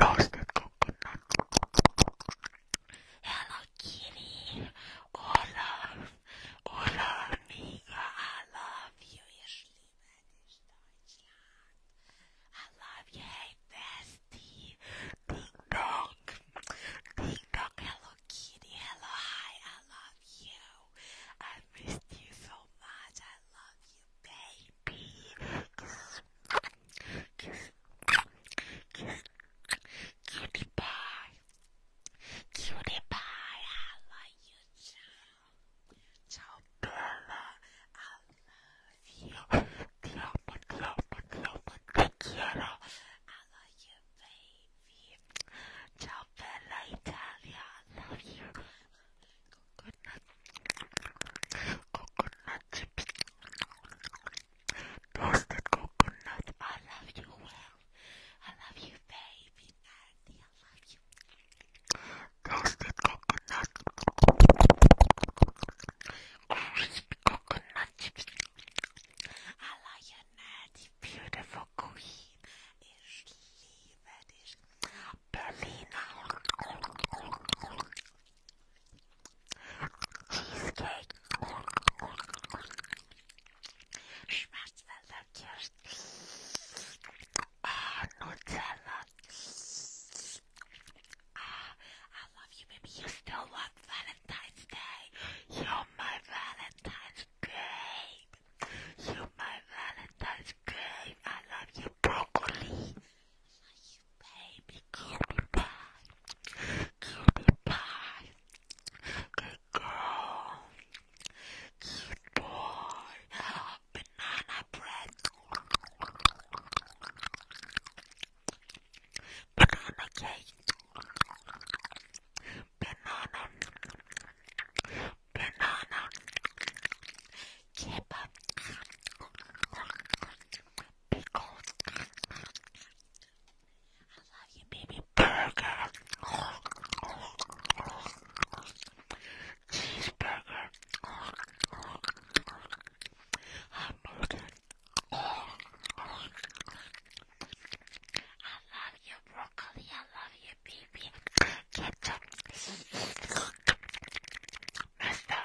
Roasted coconut. Hello Kitty. Hola. Hola amiga. I love you. Ihr schlimmes Deutschland. I love you. Hey bestie. Ding dong. Ding dong. Hello Kitty. Hello. Hi. I love you. I missed you so much. I love you, baby. Kiss, kiss, kiss, cutie pie, cutie pie. I love you too. So, Bella, I love you. Te amo, te amo, te amo, te quiero. I love you, baby. Ciao, Bella Italia. I love you coconut, coconut chips, toasted coconut. I love you well. I love you, baby Nandy. I love you. Toasted coconut, crispy coconut chips. I love you, Nandy. Beautiful queen. Ich liebe dich, Berliner. Cheesecake. Schmartzwälder Kirsch. Ah, Nutella. Ah, I love you, baby. You still want Valentine's Day. You're my Valentine's Day. You're my Valentine's Day. I love you, broccoli. You baby, call me back. Call me back. Good girl. Good boy. Banana bread. Banana cake. Banana. Banana kipper, pickles. I love you, baby. Burger, cheeseburger, hamburger. I love you, broccoli. I love you, baby. Ketchup. Mustard.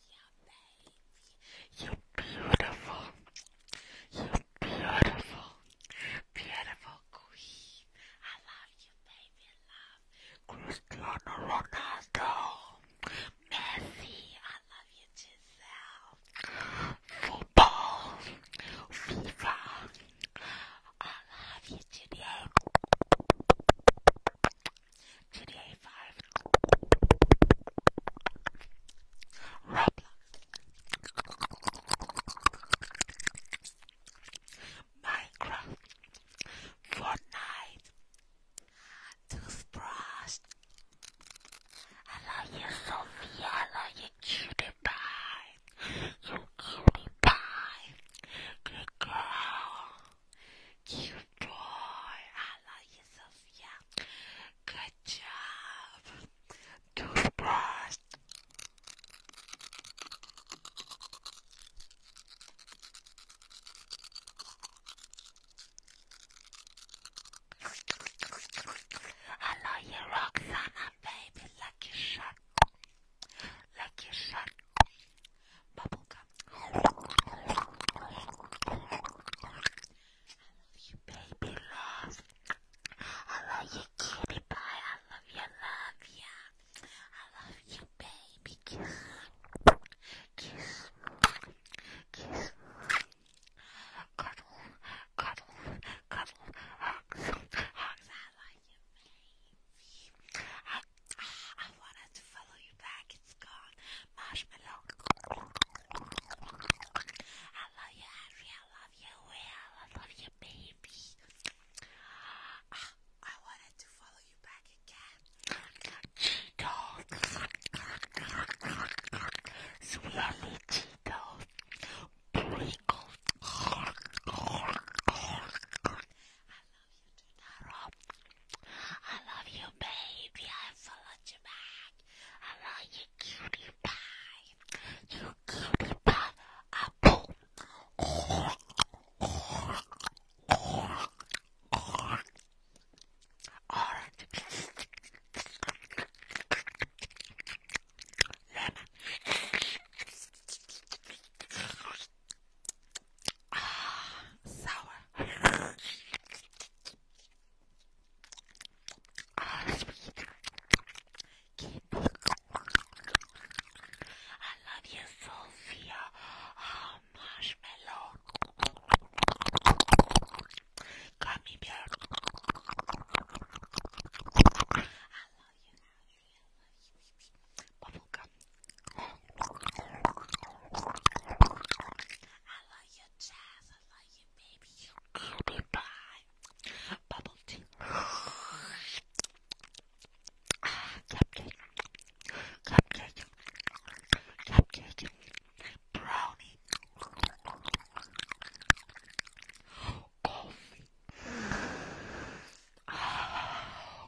You're beautiful. You're beautiful. Beautiful queen. I love you, baby. Love. Cristiano Ronaldo. Messi. I love you, Giselle. Football. FIFA. I love you, Juliet. GTA 5, Roblox, Minecraft, Fortnite, Toothbrush. I love you, Sophia. I love you, cutie pie. You cutie pie. Good girl. Cute boy. I love you, Sophia. Good job. Toothbrush. I love you, Roxana, baby. Lucky shot. Lucky shot. Bubblegum. I love you, baby love. I love you, kitty pie. I love you, love ya. I love you, baby. Kiss, kiss, kiss. Cuddle, cuddle, cuddle, hugs, hugs. I love you, baby. Ah, I wanted to follow you back. It's gone. Marshmallow. I love you, Harry. I love you, Will. I love you, baby. Ah, I wanted to follow you back again. Cheeto. Swirly Cheeto. Pringle. I love you, Totoro. I love you, baby. I followed you back. I love you, cutie pie. You cutie pie apple. Orange. Lemon. Ah, sour. Ah, sweet. I love you, Sophia. Ah, marshmallow. Gummy bear. Bubble gum. I love your jazz. I love you, baby. You could be blind. Bubble tea. Ah, cupcake. Cupcake. Cupcake. Brownie. Coffee. Oh.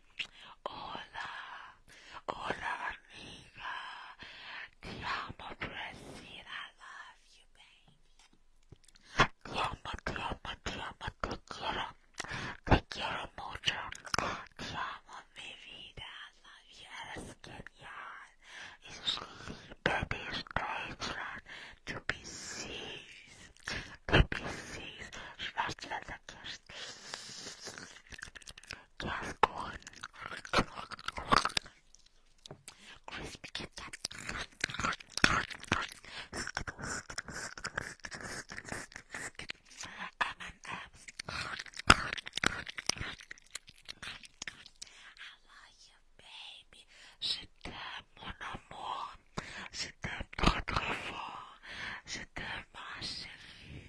Hola, hola amiga. Ti amo, Dressy, I love you, baby. Ti amo, ti amo, ti amo, te quiero. Te quiero mucho. Ti amo, mi vida. I love you. Eres genial. Es libre de Deutschland. Du bist süß. Du bist süß. Ich möchte, dass just one crispy ketchup. M and M's. I love you, baby. Je t'aime, mon amour. Je t'aime trop, Je t'aime, chérie.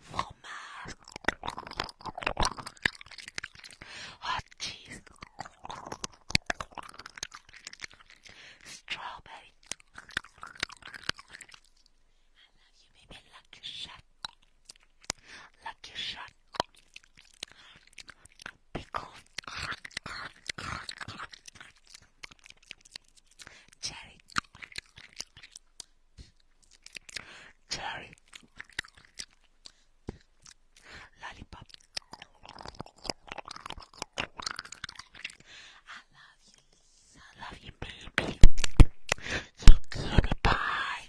fromage, hot cheese, strawberry. I love you, baby. Lucky shot, lucky shot, pickles. Cherry. Cherry. Lollipop. I love you, I love you, baby. You cutie pie.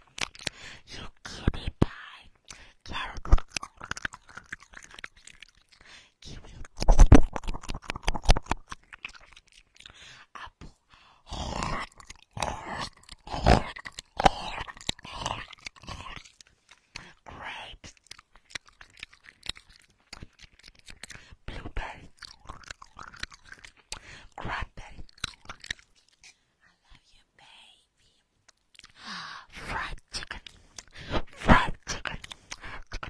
You cutie pie. Carrot kiwi, apple, grapes, blueberry, cranberry. I love you, baby. Fried chicken, fried chicken, chicken,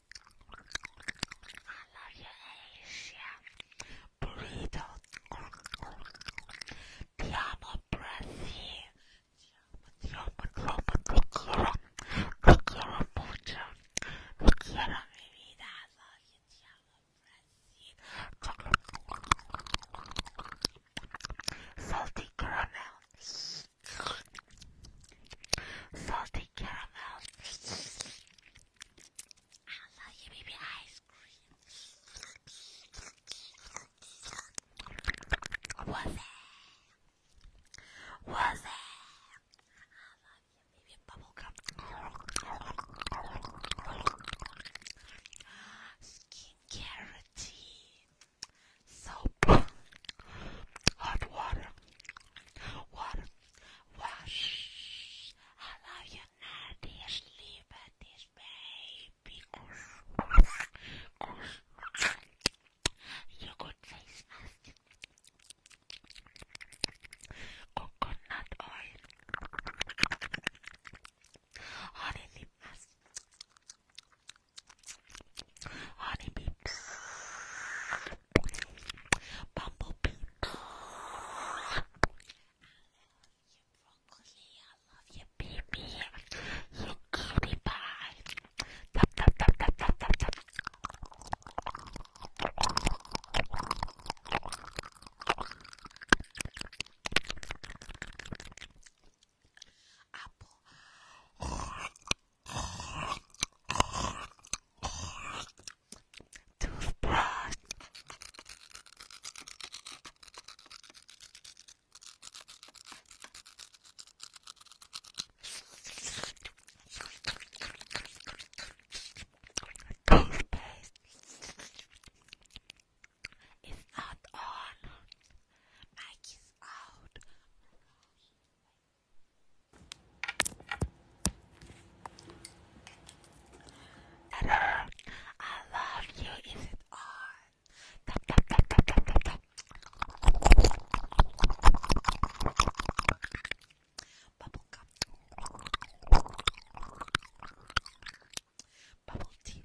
I love you, Asia. Burrito. Ti amo, Brazil. Ti amo, ti amo, te quiero. Te quiero mucho. Te quiero, mi vida. I love you, ti amo, caramel salty caramel. I love you, baby ice cream. What's that? I love you, baby bubblegum. Skincare routine soap, hot water, water, wash. I love you, Nadia. Sleep at this baby. Your good face, Coconut oil, honey lip mask. Honeybees, bumblebee, I love you, broccoli, I love you, baby, you cutie pie. Apple. Toothbrush. Toothpaste. It's not on. Mike is out ta I love you. Is it on? Tap Bubble tea.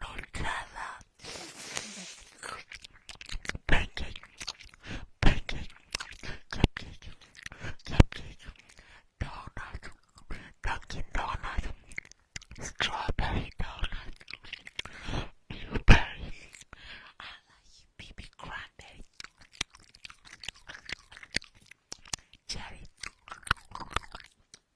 Nutella. Pancake, pancake, cupcake, cupcake, donut, Dunkin' Donut, strawberry donut, blueberry, I like BB cranberry, cherry,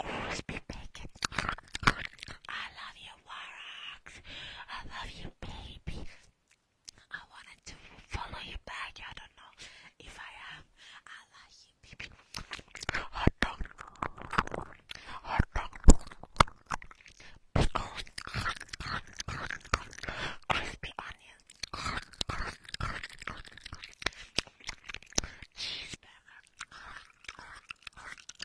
Crispy bacon. I love you, Warax. I love you, baby. I wanted to follow you back. I don't know if I am. I love you, baby. Hot dog. Hot dog. Pickles. Crispy onions. Cheeseburger.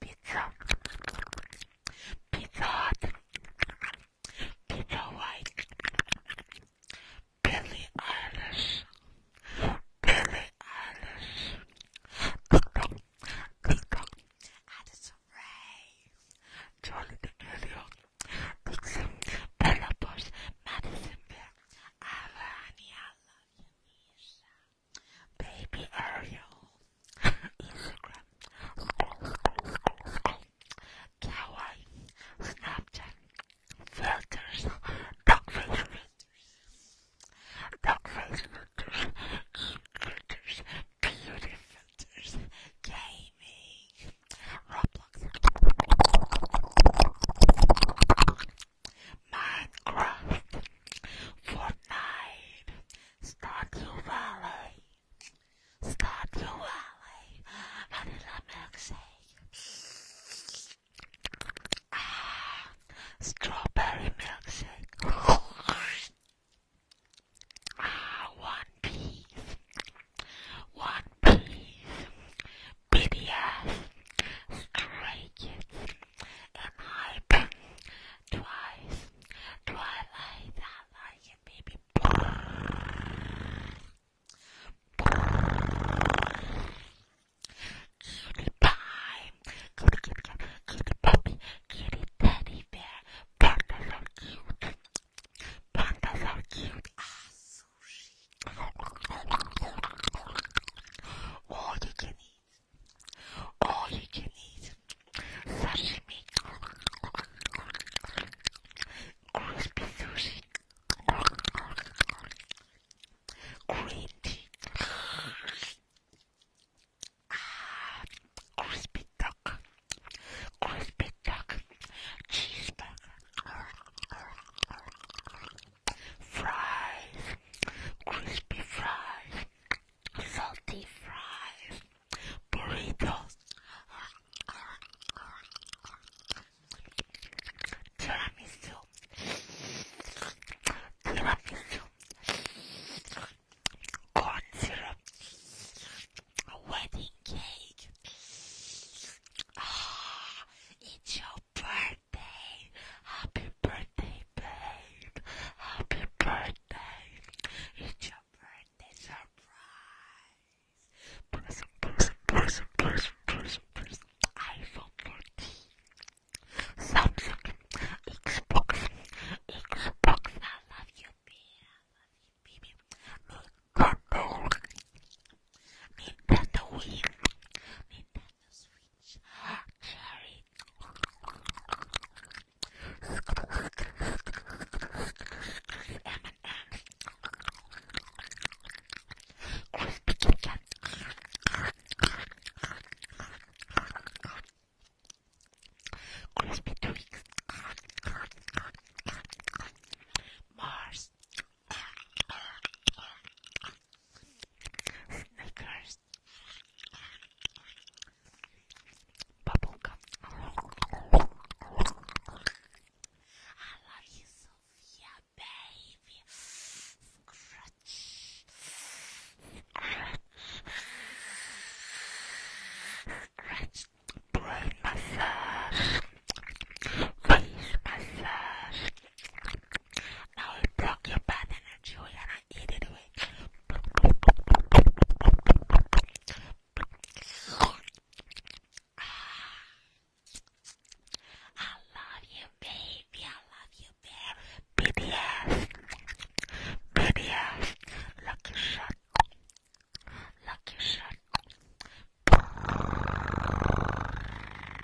Pizza. Pizza Hut. Pizza White. Billy Eilish. Billy Eilish. Ding dong. Addison Ray. Charlie D'Amelio. Billboard Madisonville, Alanyala, Yanisha, Baby Ariel, Instagram, Kawaii, Snapchat, Filters, Dog Filters, Dog Filters, Filters, Beauty Filters, Gaming, Minecraft, Fortnite, Stardew Valley, Stardew Valley, Vanilla Milkshake, ah, Strawberry Milkshake. Ah, one Piece, one Piece, BDS, Stray Kids, and Hype, Twice, Twilight, I like it, baby. Cutie pie, cutie, cutie, cutie puppy, cutie teddy bear, partner so cute. Pandas are cute. sushi. All you can eat. All you can eat. Sashimi. Crispy sushi. Green tea. crispy dough. Ah, duck, crispy duck, cheeseburger, fries, crispy fries, salty fries, burrito, tiramisu, tiramisu, corn syrup, a wedding cake. Ah, it's your birthday. Happy birthday, babe. Happy birthday. It's your birthday surprise. Person, person, person, person, person, person. iPhone Samsung. Xbox. Xbox. I love you, babe. I love you. Baby, Nintendo, Nintendo Wii, Nintendo Switch, Cherry. Crispy Kit Kat. Crispy Twix. Mars, Snickers, Bubblegum. I love you, Sophia, baby. Scratch. Scratch. Scratch brain massage, face massage. Now it your bad energy, we're eat it away. I love you, baby. I love you, bear. BDS. BDS. Lucky shot. Lucky shot. How are you,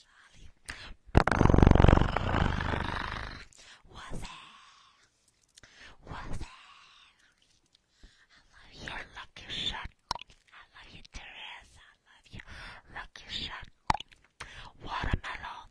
Charlie? What's that? What's that? I love you, Lucky Shot. I love you, Teresa. I love you, Lucky Shot. Watermelon.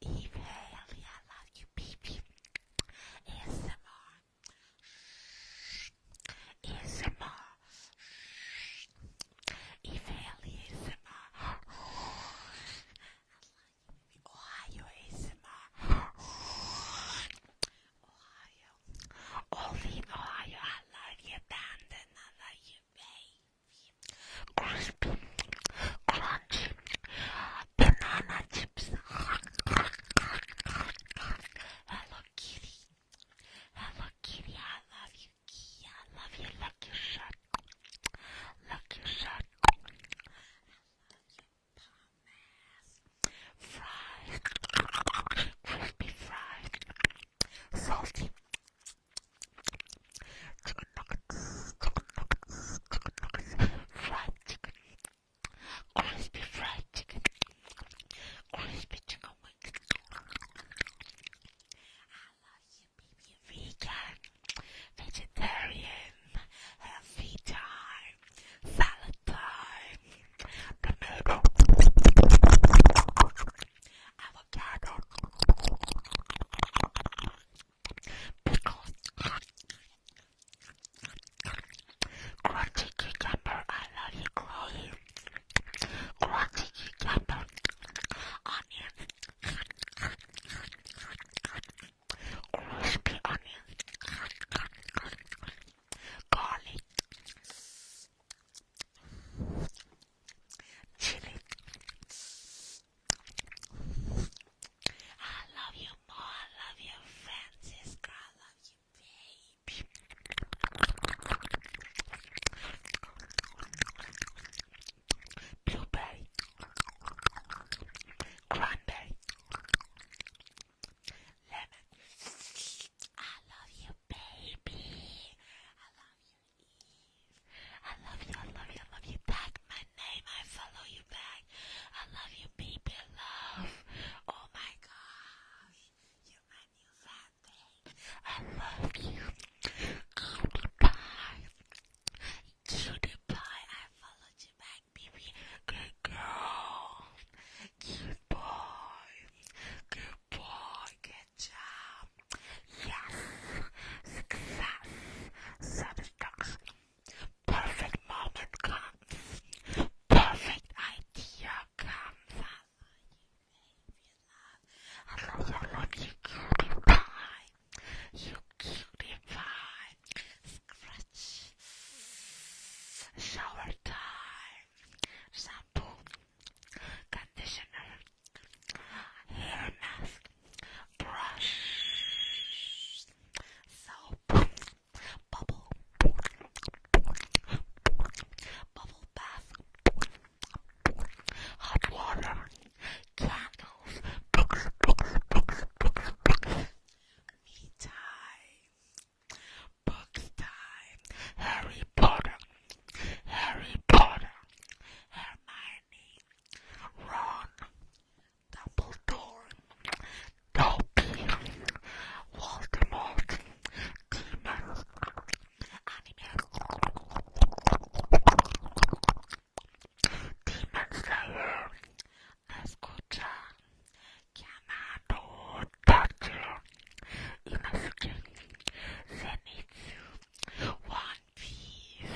Even I love you, baby. ASMR. ASMR. Even ASMR. I love you, Ohio ASMR. Ohio. Only in Ohio, I love you, Brandon. I love you, babe crispy, crunchy banana chips. Hello Kitty, hello Kitty, I love you, Kitty, I love you. Look your shirt, love you, Thomas. Fried, crispy fried, salty chicken nuggets, chicken nuggets, chicken nuggets, fried chicken, crispy fried chicken, crispy chicken wings. I love you, baby, vegan, vegetarian, healthy time, salad time, tomato avocado pickles, crunchy cucumber. I love you, Chloe. Crunchy cucumber, onion, crispy onion, garlic. Chili, I love you more. I love you, Francisca. I love you, baby. Blueberry, cranberry, lemon. I love you, baby. I love you. I love you, I love you, I love you. Tag my name, I follow you back. I love you, people, love. Oh my gosh, you're my new fan I love you. Cutie pie. Cutie pie, I followed you back, baby. Good girl. Good boy. Good boy, good job. Yes, success, satisfaction, perfect moment comes, perfect idea comes. I love you, I love you, cutie pie, you cutie pie, shower time, shampoo, conditioner, hair mask, brush, soap, bubble, bubble bath, hot water, candles, books, books, books, books, books, me time, books time, Harry Potter, Harry Potter, Hermione. Hermione, Ron, Dumbledore, Dobby, Voldemort, Demon, Demon Slayer, Escucha, Yamato, Tacho, Inosuke, Zenitsu, Why? Piece,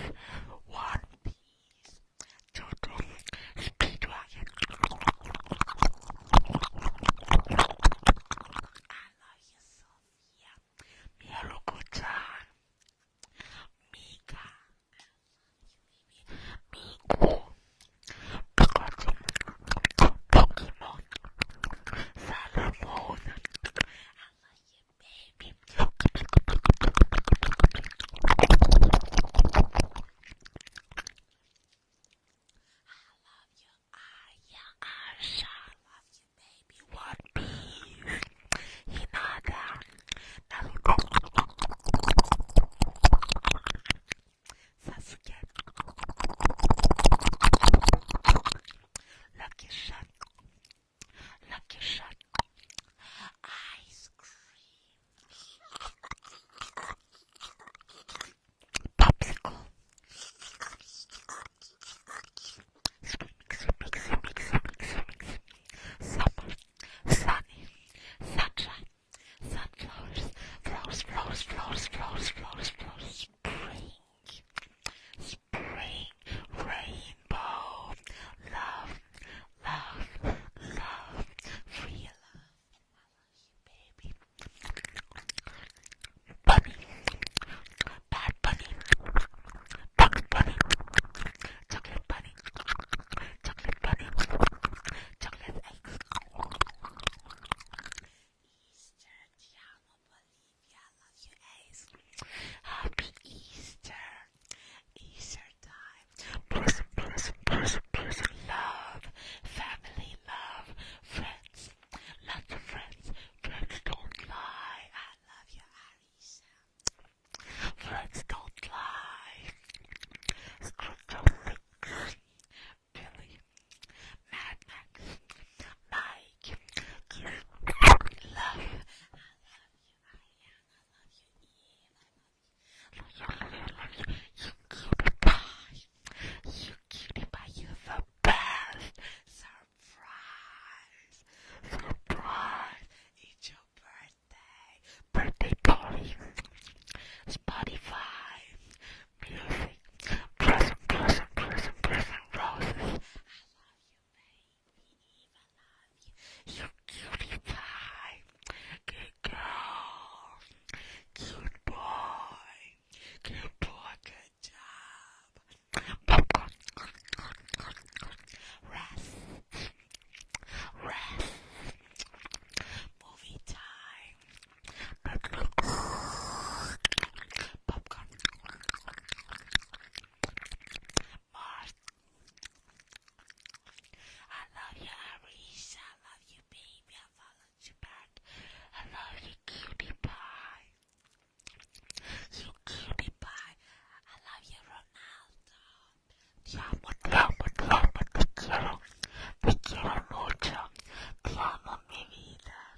One Piece, Jojo, Speedwagon. I love you, Sophia, Miruko-chan, Mika, Miku, Pikachu, Pokemon, Salamon. yeah, I shall love you, baby. One piece. Hinata. Naruto. Sasuke. Lucky Shot. Lucky shot ice cream popsicle spring spring rainbow. Love, love, love, real love. baby. Bunny, bad bunny, chocolate bunny, chocolate bunny, chocolate bunny, chocolate egg. Easter, ti bunny. I love you guys. Happy Easter. Easter time. Bless, bless, bless, bless. Love, family, love, friends. Lots of friends. Friends don't lie. I love you, Aries. Friends don't lie. Scripture Billy, Mad Max, my you. I love you. I love you. I love you. I love you. I love you. I love you. You cutie pie. You cutie pie. You're the best. Surprise. Surprise. It's your birthday. Birthday party. Spotify. Music. Present, present, present, present roses you. are cutie pie. Good girl. Cute boy. Good boy. Good job. Rest. Rest. Movie time. Popcorn. Popcorn. I love you, Aries. I love you, baby. I follow you back. I love you, cutie pie. You cutie pie. I love you, Ronaldo. Te amo, te amo, te amo, te quiero. Te quiero mucho. Te amo, mi vida.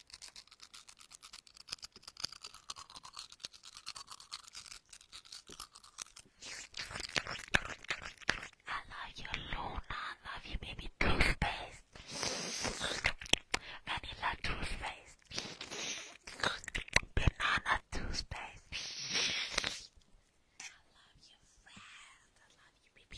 I love you, Luna. I love you, baby. Toothpaste. Vanilla toothpaste. Banana toothpaste. I love you, friend. I love you, baby.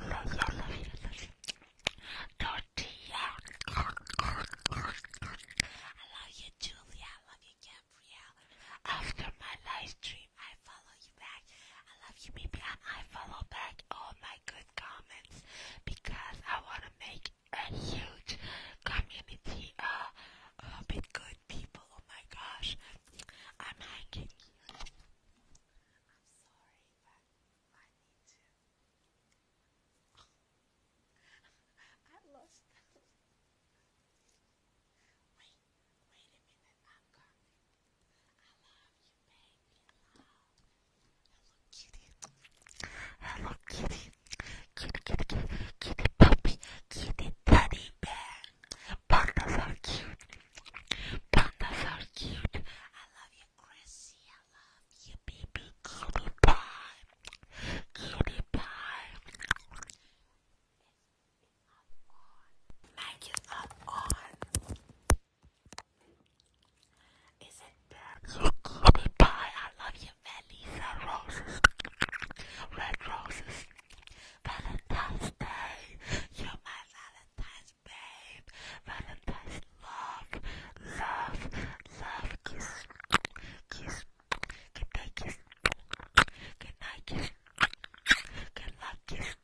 I love you, baby. Tortilla. I love you, Julia. I love you, Gabrielle. After my live stream, I follow you back. I love you, baby. And I follow back all my good comments because I want to make a huge community uh, a bit good people. Oh my gosh. I'm hiking here. I'm sorry, but I need to. I lost Wait, wait a minute. I'm coming. I love you, baby. Hello, kitty. Hello, kitty. Kitty, kitty, kitty, kitty, puppy. Kitty, teddy bear. Pandas are cute. Pandas are cute. I love you, Chrissy. I love you, baby. Cutie pie. Cutie pie. Mic is not on. Is it there? You pie. I love you, Melissa. Roses. Red roses. Valentine's Day, you're my Valentine's babe. Valentine's love, love, love, kiss, kiss, good night kiss, good night kiss, good luck kiss.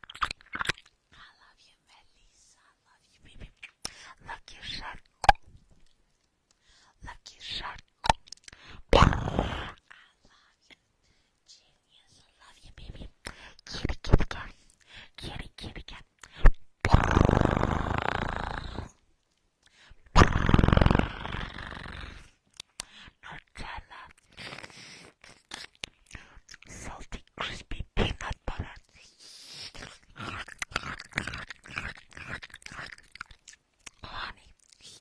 I love you, Melissa. I love you, baby. Lucky shot, lucky shot. I love you. Genius, I love you, baby. Kitty, kitty cat. Kitty, kitty cat. Nutella. Salty, crispy peanut butter. Honey.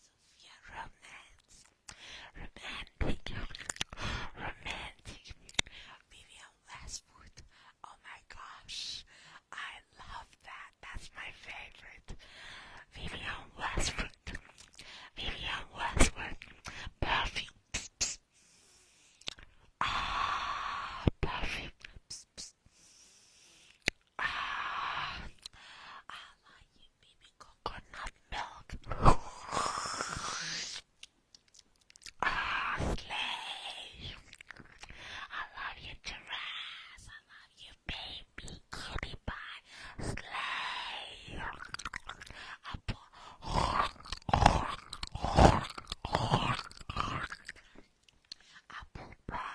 Sophia romance, romantic, romantic. Vivian Westwood. Oh my gosh, I love that. That's my favorite. Vivian Westwood. Vivian Westwood. Perfume. Psst, psst. Ah, perfume. Psst, psst. I like you, baby coconut milk. ah, slay. I love you, giraffe. I love you, baby cutie pie. Slay. I Apple pie.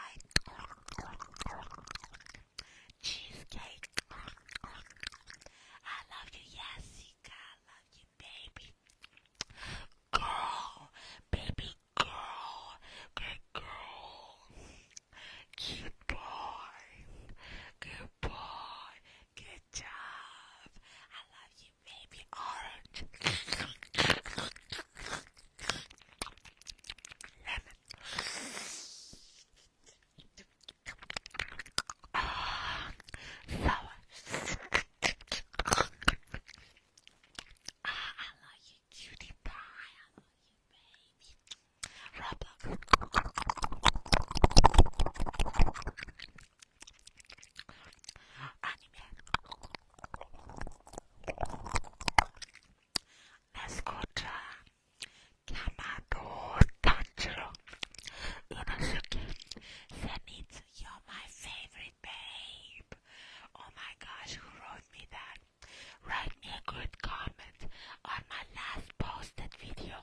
Cheesecake. I love you, Yasika. I love you, baby. Girl. Baby girl. Good girl. Good boy. Good boy. Good job. I love you, baby orange. Lemon. Sour. I love you, cutie pie. I love you, baby. Roblox. Anime nascotta Yamato Tanjiro Inosuke Zenitsu, you're my favorite babe. Oh my gosh, who wrote me that? Write me a good comment on my last posted video.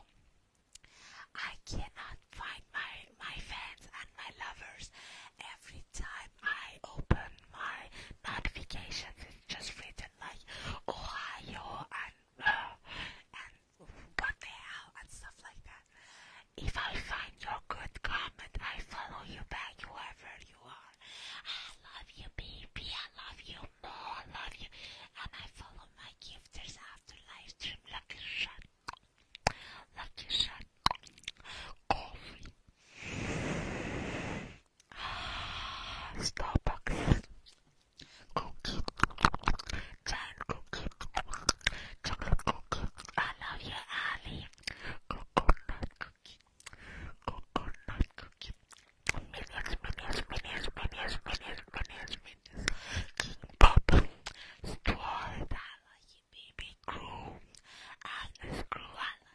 I cannot find my my fans and my lovers every time I open my notifications, it's just written like Ohio and uh, and what the hell and stuff like that. If I find your good comment, I follow you back, whoever you are. I love you, baby. I love you more. I love you, and I follow my gifters after live stream. Lucky shot. Lucky shot. Coffee. Starbucks cookie, giant cookie, chocolate cookie. I love you, Ali. Coconut cookie, cookie. Minions, minions, minions, minions, minions, minions, minions. King Pop, I love you, baby. Crew, Agnes Crew, I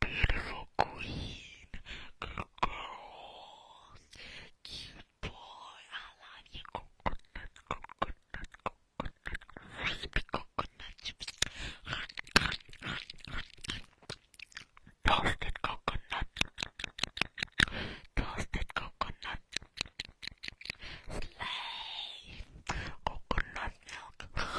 beautiful queen. Good girl. Cute boy. I love you. Coconut, coconut, coconut. Crispy coconut chips. Toasted coconut. Toasted coconut. Slay. Coconut milk.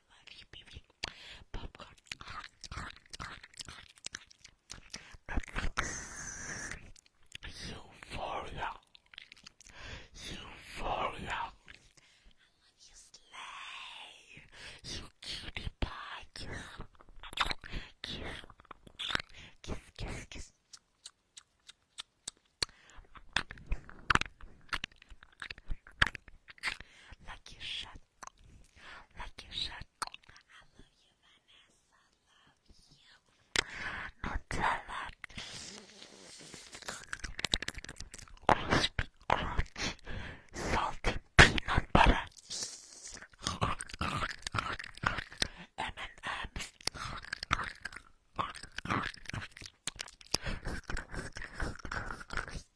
I love you, baby. Popcorn. Euphoria. Euphoria. I love you, Slay. You cutie pie. Kiss. Kiss, kiss, kiss. Like you shut. Like you shut. I love you, Vanessa. I love you. Nutella. Crispy crunch. Salty peanut butter. M&M's.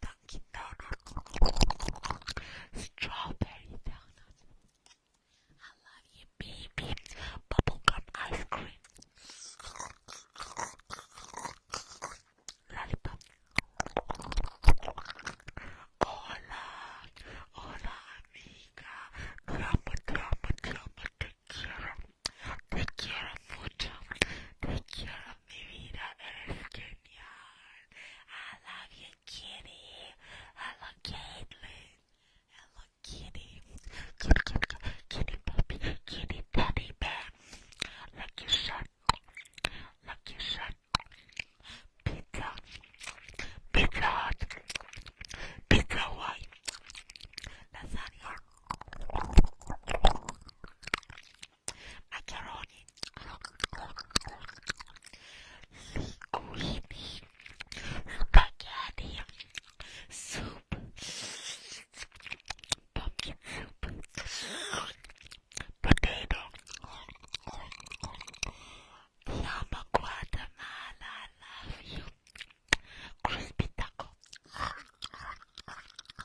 Dunkin' Donuts, strawberry donuts. I love you, baby. Bubblegum ice cream, lollipop. Hola, hola, amiga. Drama, drama, drama. Take care, take care of food. Take care mi vida es genial. I love you, kitty. Hello, Caitlin. Hello, kitty. Kitty, kitty, kitty, puppy, kitty, teddy bear. Lucky shot. Lucky shot. Pizza. Pizza hut. Pizza white. Lasagna macaroni, linguine, spaghetti, soup, pumpkin soup, potato, Lama Guatemala, I love you, crispy taco.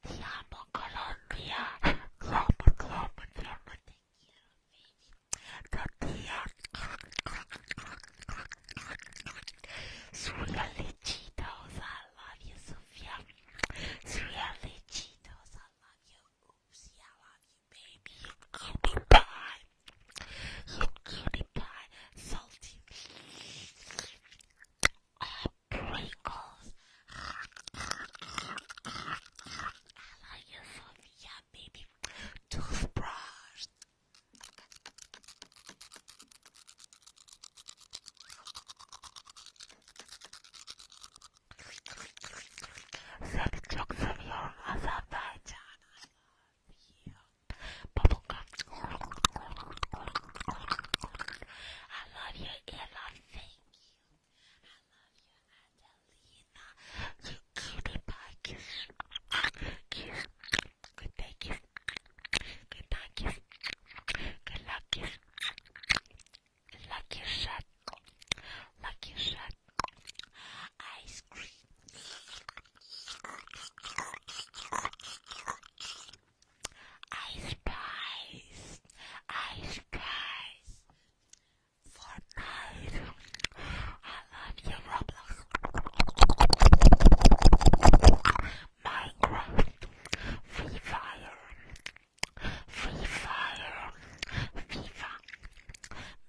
Ti amo Colombia. Come, come, come. Tortilla. Sulla Lechitos, I love you, Sofia. Sulla Lechitos, I love you. Oopsie, I love you, baby. You cutie pie. You cutie pie. Salty. Um, Pringles. I like you, Sophia, baby. Toothbrush. I love you. Bubblegum. I love your earlobe. Thank you. I love you, Adelina. Cutie pie kiss. Kiss. Good day kiss. Good Lucky shot. Lucky shot. Ice cream. Ice Spice, Ice Spice. Fortnite. I love you, Roblox. Minecraft. Free Fire. Free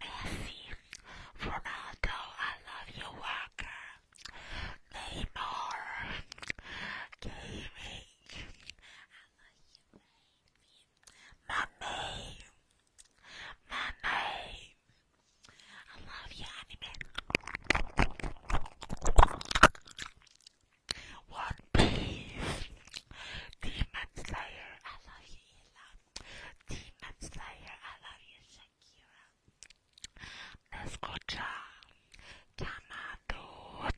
Messi. Ronaldo. I love you, Walker. Neymar. Gaming. My name. I love you, anime. One Piece. Demon Slayer. I love you, Demon Slayer. I love you, Shakira. Let's go, John.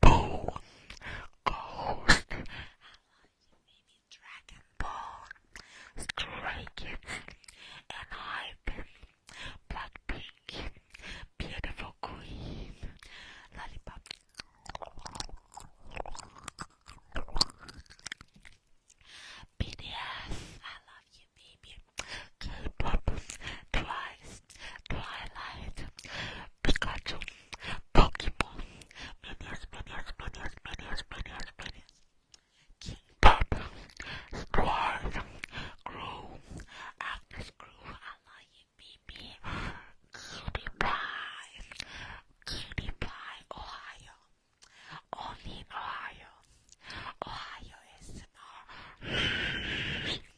Ball, Ghost, I like maybe Dragon Ball, Stray and Hype, Blackpink, Beautiful Queen, Lollipop. BTS, I love you, baby. K-pop, Twice, Twilight, Pikachu, Pokemon, Minions, Minions, Minions, Minions, Minions, Minions, King Pop, Squad, Crew, I love you, baby, Cutie Pie, Cutie Pie, Ohio, only Ohio, Ohio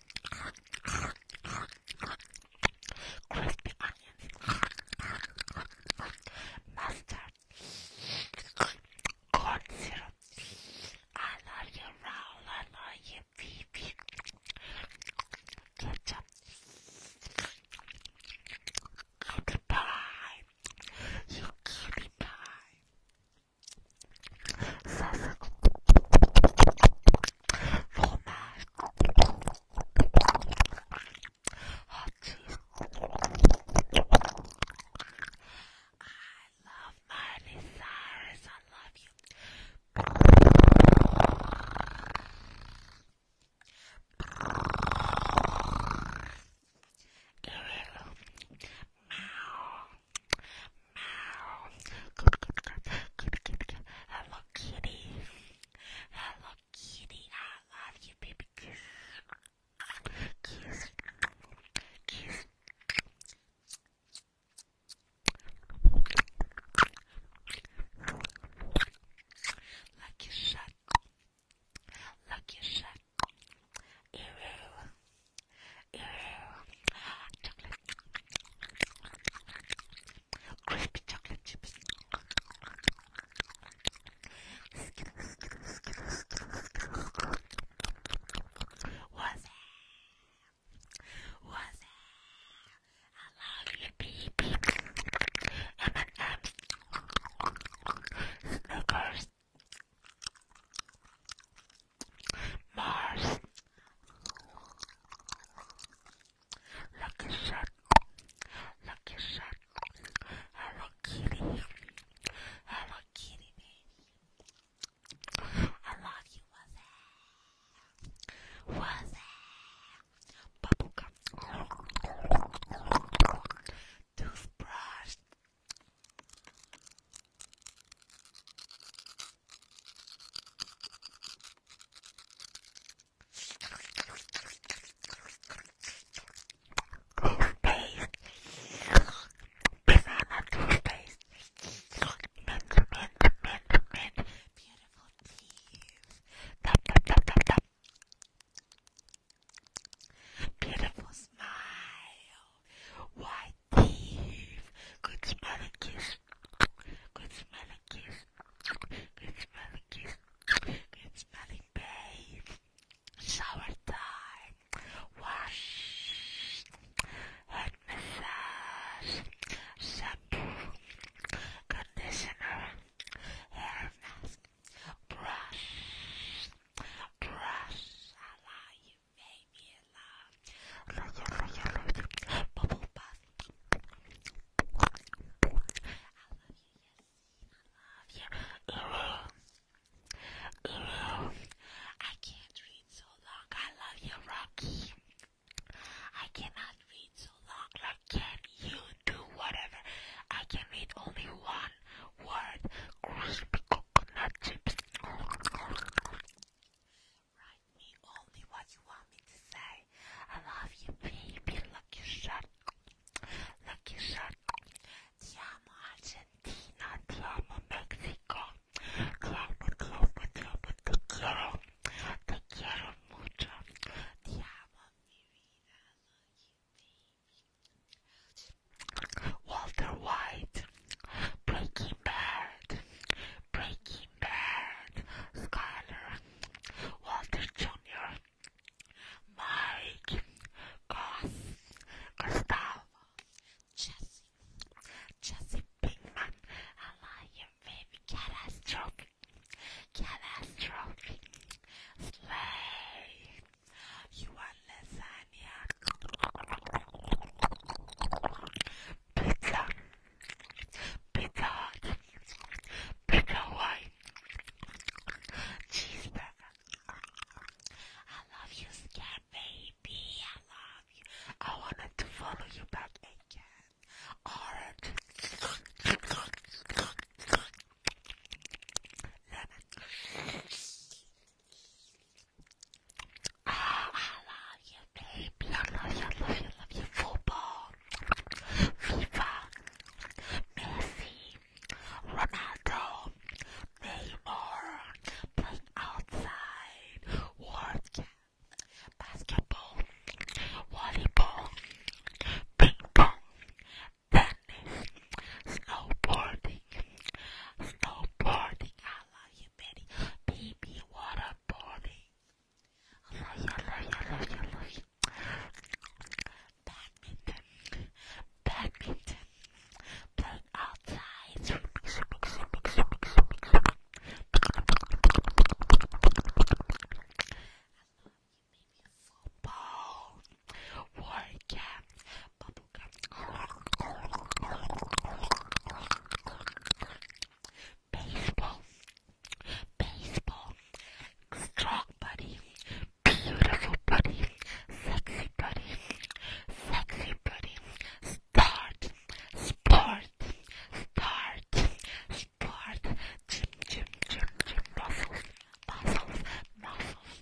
crispy onions, mustard, corn I love you, I love you, Phoebe. Ketchup, cutie pie, you cutie Ça I love Miley Cyrus. I love you. Meow meow. Good, good, good, good, good, good. Hello, kitty. Hello, kitty. I love you, baby. Kiss, kiss, kiss. Lucky shot. Lucky shot. Ew chocolate, crispy chocolate chips, what's that? What's that? I love you, baby. M&M's, Snickers, Mars. Lucky shot. Lucky shot. Hello Kitty. Hello Kitty baby. I love you. What's that? What's that? Bubblegum. Toothbrush. Tuesdays, because I love Tuesdays. Mint, mint, mint, mint, beautiful teeth. Dab, dab, dab, dab, dab. Beautiful smile. Why Good smelling kiss. Good smelling kiss. Good smelling kiss. Good smelling babe. Shower time. Wash. Head massage. Shampoo. Conditioner. Hair mask. Brush. Brush. Maybe in love. Bubble Puff. I love you, yes. I love you. I can't read so long. I love you, Rocky. I cannot read so long. Like, can you do whatever? I can read only one word. Crispy coconut Write me only what you want me to say. I love you, baby. Lucky shot. Lucky shot. Ti amo Argentina. Ti amo Mexico. Ti amo, ti amo, ti amo. Te quiero. Te quiero mucho. Ti amo, mi vida. I love you, Walter White, Breaking Bad, Breaking Bad, Skyler, Walter Jr., Mike, Gus, Gustavo, Jesse, Jesse Pinkman, I baby catastrophe, catastrophe, slay, you are listening. Pizza, Pizza Pizza White, Cheeseburger. I love you, Scat Baby. I love you. I wanted to follow you back again. Ah, I love you, baby. I love you, love you, love you. Football, FIFA, Messi, Ronaldo, Neymar, playing outside, working, basketball, volleyball, ping pong, tennis, snowboarding, snowboarding. Baby, what a party! I love you, love you, love you, love you. Badminton. Badminton. Playing outside. Swimming, swimming, swimming, swimming, swimming, swimming. I love you, baby. Football. Workout. Baseball, baseball, strong buddy, beautiful buddy, sexy buddy, sexy buddy, start, sport, start, sport, gym, gym, gym, gym, muscles, muscles, muscles.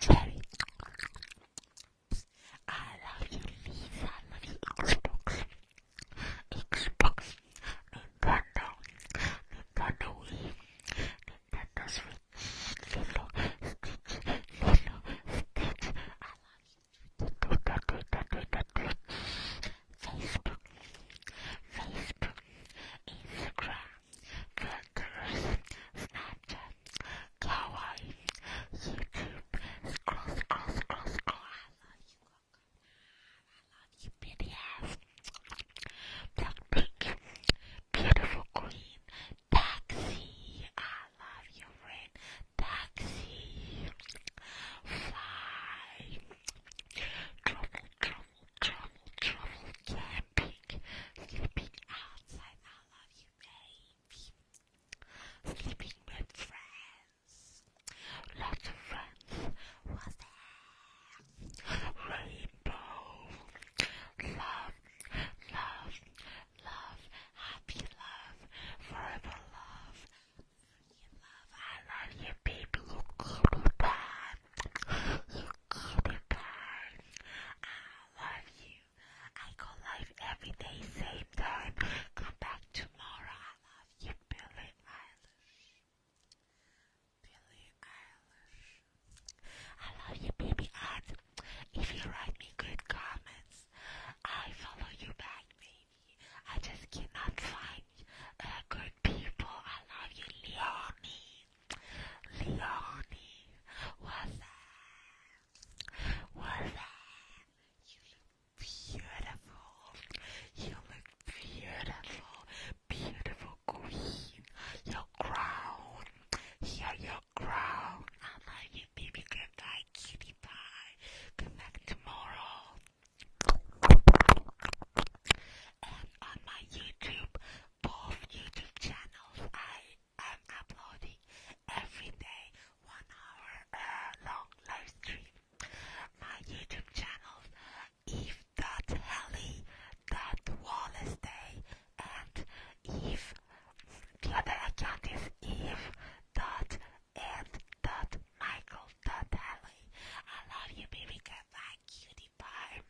Cherry. I love you, Lisa. I love Xbox. Xbox. Nintendo. Nintendo Wii. Nintendo Switch. Lilo. Stitch. Lilo. Stitch. I love you. Twitter. Twitter. Twitter. Twitter. Facebook. Facebook. Instagram. Flickr, Snapchat, Kawaii, YouTube, scroll, scroll, scroll, scroll. I love you, I love you, pretty ass. Black beautiful queen, taxi. I love you, friend, taxi. Fly, trouble, trouble, trouble, trouble, camping, sleeping outside. I love you, babe sleeping with friends. Lots of friends was there. Rainbow, love, love, love, happy love, forever love. You love, I love you, baby. You give me time. You give me time. I love you you. I go live every day, same time. Come back tomorrow. I love you, Billie Eilish. Billie Eilish. I love you, baby aunt. If you write me good comments, I follow you back, baby. I just cannot find uh, good people. I love you, Leonie. Leonie, what's up? Well then, you look beautiful. You look beautiful, beautiful queen. Your crown, here your crown. I love you, baby. Goodbye, kitty pie. Come back tomorrow. And on my YouTube, both YouTube channels, I I'm uploading every day one hour long live stream. My YouTube channel if dot Helly dot Wallace Day and if the other account is Eve dot and dot Michael dot Helly. I love you baby goodbye cutie pie